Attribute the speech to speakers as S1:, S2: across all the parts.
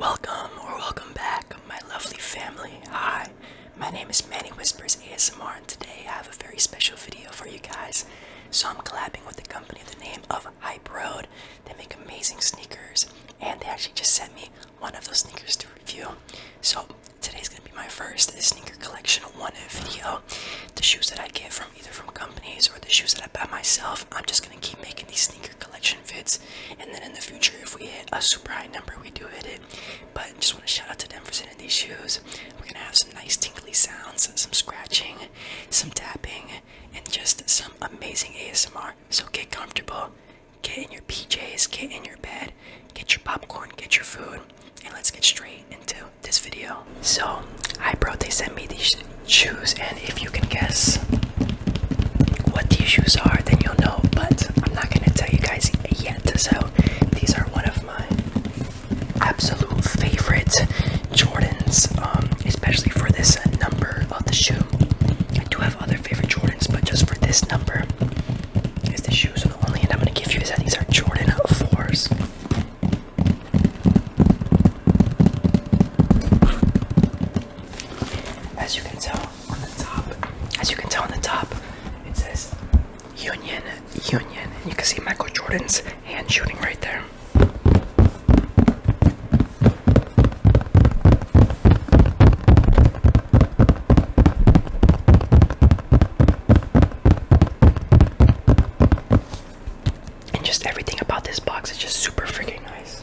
S1: Welcome or welcome back, my lovely family. Hi, my name is Manny Whispers ASMR, and today I have a very special video for you guys. So I'm collabing with a company the name of Hype Road. They make amazing sneakers, and they actually just sent me one of those sneakers to review. So today is gonna be my first sneaker collection one video. The shoes that I get from either from companies or the shoes that I buy myself, I'm just gonna keep making these sneaker Election fits and then in the future if we hit a super high number we do hit it but just want to shout out to them for sending these shoes we're gonna have some nice tinkly sounds some scratching some tapping and just some amazing asmr so get comfortable get in your pjs get in your bed get your popcorn get your food and let's get straight into this video so I brought. they sent me these shoes and if you can guess what these shoes are, then you'll know. But I'm not gonna tell you guys yet. So these are one of my absolute favorite Jordans, um, especially for this number of the shoe. I do have other favorite Jordans, but just for this number, is the shoes. are the only end I'm gonna give you is that these are Jordan fours. As you can tell on the top, as you can tell on the top, it says Union, Union. And you can see Michael Jordan's hand shooting right there. And just everything about this box is just super freaking nice.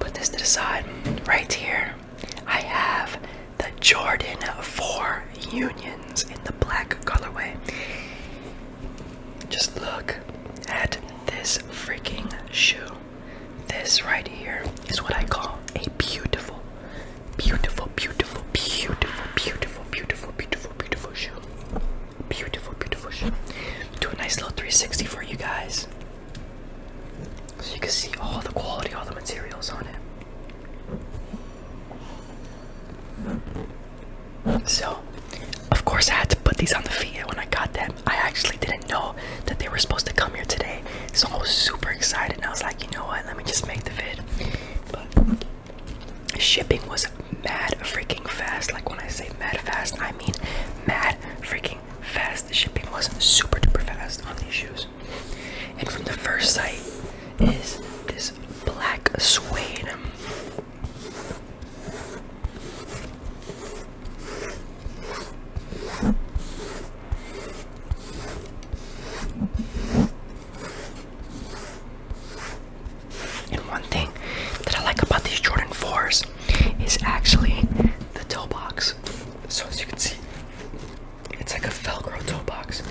S1: Put this to the side right here. I have the Jordan 4 Unions in the black colorway. Just look at this freaking shoe. This right here is what I call a beautiful, beautiful, beautiful, beautiful, beautiful, beautiful, beautiful, beautiful shoe. Beautiful, beautiful shoe. Do a nice little 360 for you guys. So you can see all the quality, all the materials on it. So, of course, I had to put these on the feed when I got them. I actually didn't know that they were supposed to come here today, so I was super excited. And I was like, you know what? Let me just make the vid. But shipping was mad freaking fast. Like when I say mad fast, I mean mad freaking fast. The shipping was super duper fast on these shoes. And from the first sight is this black suede and one thing that I like about these Jordan 4s is actually the toe box. So, as you can see, it's like a Velcro toe box.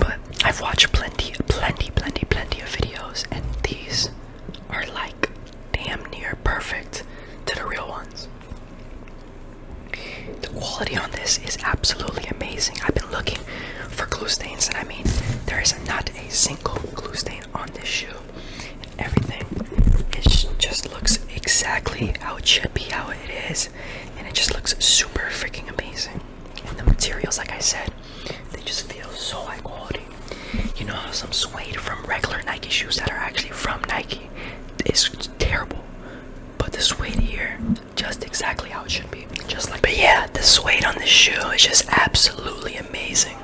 S1: But I've watched plenty, plenty, plenty, plenty of videos, and these are like damn near perfect to the real ones. The quality on this is absolutely amazing. I've been looking for glue stains, and I mean, there is not a single glue stain on this shoe and everything. It just looks exactly how it should be, how it is, and it just looks super freaking amazing. And the materials, like I said, they just feel so high quality. You know how some suede from regular Nike shoes that are actually from Nike is terrible, but the suede here, just exactly how it should be. Just like, but yeah, the suede on this shoe is just absolutely amazing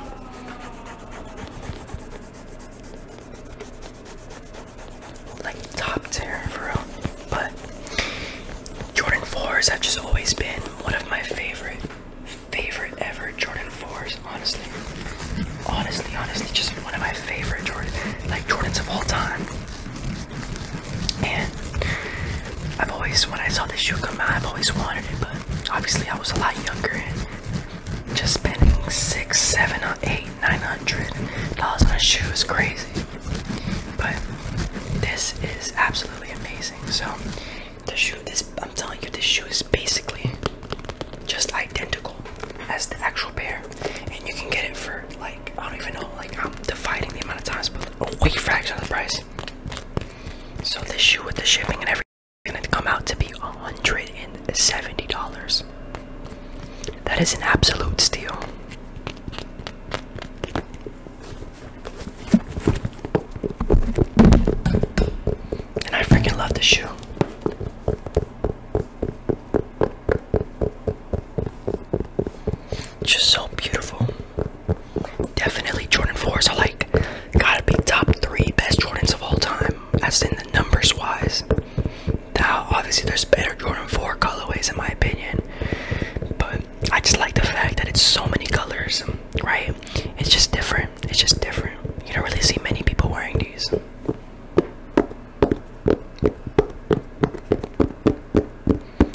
S1: like top tier for real. But Jordan 4s have just always been one of my favorite, favorite ever Jordan 4s, honestly. Honestly, honestly, just one of my favorite Jordan, like Jordans of all time. And I've always, when I saw this shoe come out, I've always wanted it, but obviously I was a lot younger just spending six, seven, eight, nine hundred dollars on a shoe is crazy. But this is absolutely amazing. So the shoe, is I'm telling you, this shoe is basically just identical as the actual pair, and you can get it for like I don't even know, like I'm dividing the amount of times, but a way fraction of the price. So this shoe with the shipping and everything and it come out to be $170. That is an absolute steal. And I freaking love the shoe. Just so beautiful. Definitely Jordan 4s are like gotta be top three best Jordans of all time as in the numbers wise. Now, obviously, there's better Jordan 4 colorways in my opinion, but I just like the fact that it's so many colors, right? It's just different. It's just different. You don't really see many people wearing these.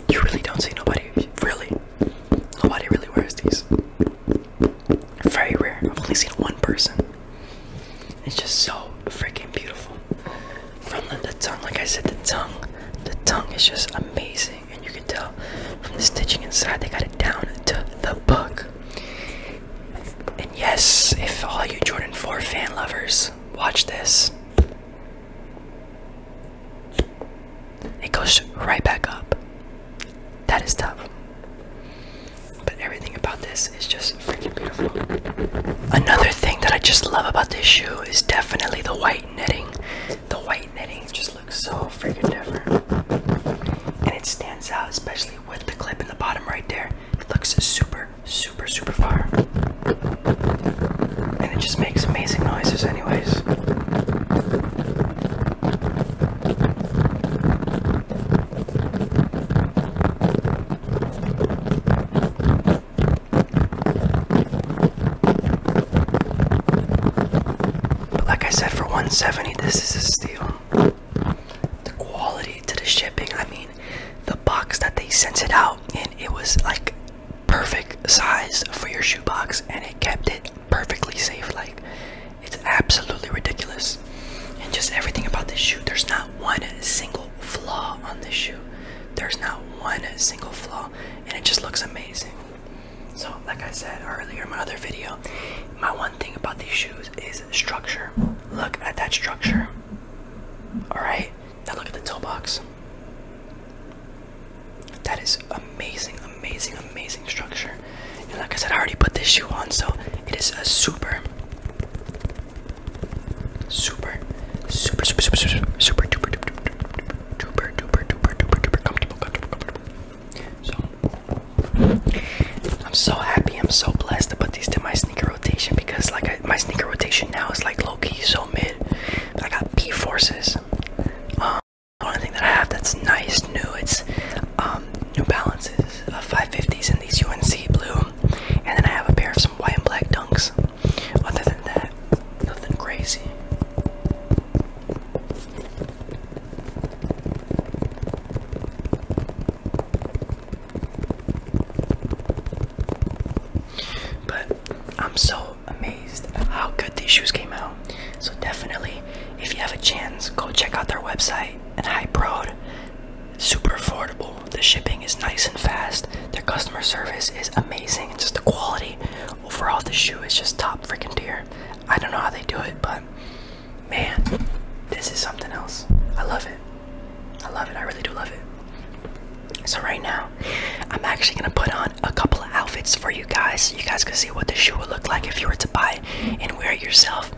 S1: You really don't see nobody, really. Nobody really wears these. Very rare. I've only seen one person. It's just so freaking beautiful. From the, the tongue, like I said, the tongue, the tongue is just amazing, and you can tell from the stitching inside they got it down to the book. And yes, if all you Jordan 4 fan lovers watch this, it goes right back up that is tough. But everything about this is just freaking beautiful. Another thing that I just love about this shoe is definitely the white knitting. The white knitting just looks so freaking different. And it stands out, especially with the clip in the bottom right there. It looks super, super, super far. And it just makes amazing noises, anyways. But like I said, for 170, this is a steal. The quality to the shipping, I mean, the box that they sent it out and it was like perfect size for your shoebox and it kept it perfectly safe. Like it's absolutely ridiculous. And just everything about this shoe, there's not one single flaw on this shoe. There's not one single flaw, and it just looks amazing. So, like I said earlier in my other video, my one thing about these shoes is structure. Look at that structure. Alright, now look at the toe box. That is amazing, amazing, amazing structure. And like I said, I already put this shoe on, so it is a super, super, super, super, super, super, super, duper, duper, duper, duper, duper, duper, duper, duper, comfortable, comfortable, comfortable. So I'm so happy, I'm so blessed to put these to my sneaker rotation because like I, my sneaker rotation now is like low key, so mid. I got P forces. Um, the only thing that I have that's nice, new, it's um um, New Balances, uh, 550s in these UNC blue, and then I have a pair of some white and black dunks. Other than that, nothing crazy. But I'm so amazed how good these shoes came out. So definitely, if you have a chance, go check out their website and high prod. Super affordable. The shipping is nice and fast. Their customer service is amazing. Just the quality overall, the shoe is just top freaking tier. I don't know how they do it, but man, this is something else. I love it. I love it. I really do love it. So right now, I'm actually gonna put on a couple of outfits for you guys. So you guys can see what the shoe would look like if you were to buy and wear it yourself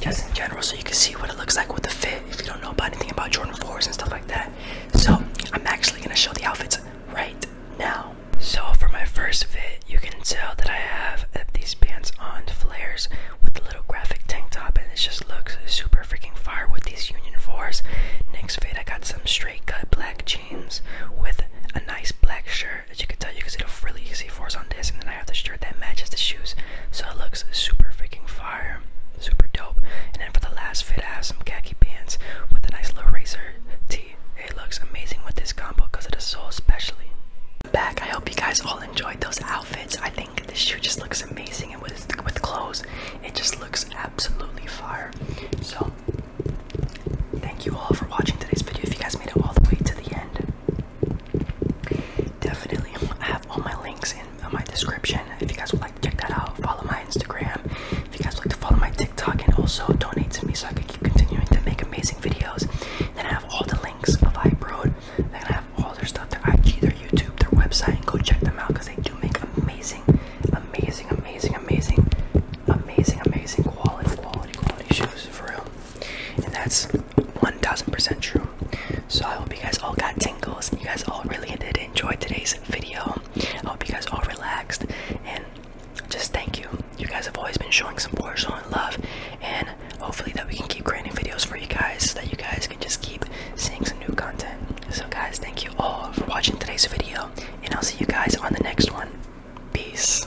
S1: just in general so you can see what it looks like with the fit if you don't know about anything about Jordan 4s and stuff like that. So I'm actually gonna show the outfits right now. So for my first fit, you can tell that I have uh, these pants on flares with the little graphic tank top and it just looks super freaking fire with these Union 4s. Next fit, I got some straight cut black jeans with a nice black shirt there. As you can tell, you can see the really easy force on this, and then I have the shirt that matches the shoes, so it looks super freaking fire, super dope. And then for the last fit, I have some khaki pants with a nice little racer tee. It looks amazing with this combo because it is so especially. Back, I hope you guys all enjoyed those outfits. I think this shoe just looks amazing, with with clothes, it just looks absolutely fire. So. Thank you all for watching today's video. If you guys made it all the way to the end, Definitely, I have all my links in my description. If you guys would like to check that out, follow my Instagram. If you guys would like to follow my TikTok and also donate to me so I can keep continuing to make amazing videos. Then I have all the links of iBroad. Then I have all their stuff, their IG, their YouTube, their website, and go check them out because they do make amazing, amazing, amazing, amazing, amazing, amazing quality, quality, quality shoes for real and that's 1000% true. So I hope you guys all got tingles and you guys all really did enjoy today's video. I hope you guys all relaxed and just thank you. You guys have always been showing support, showing love, and hopefully that we can keep creating videos for you guys so that you guys can just keep seeing some new content. So guys, thank you all for watching today's video, and I'll see you guys on the next one. Peace.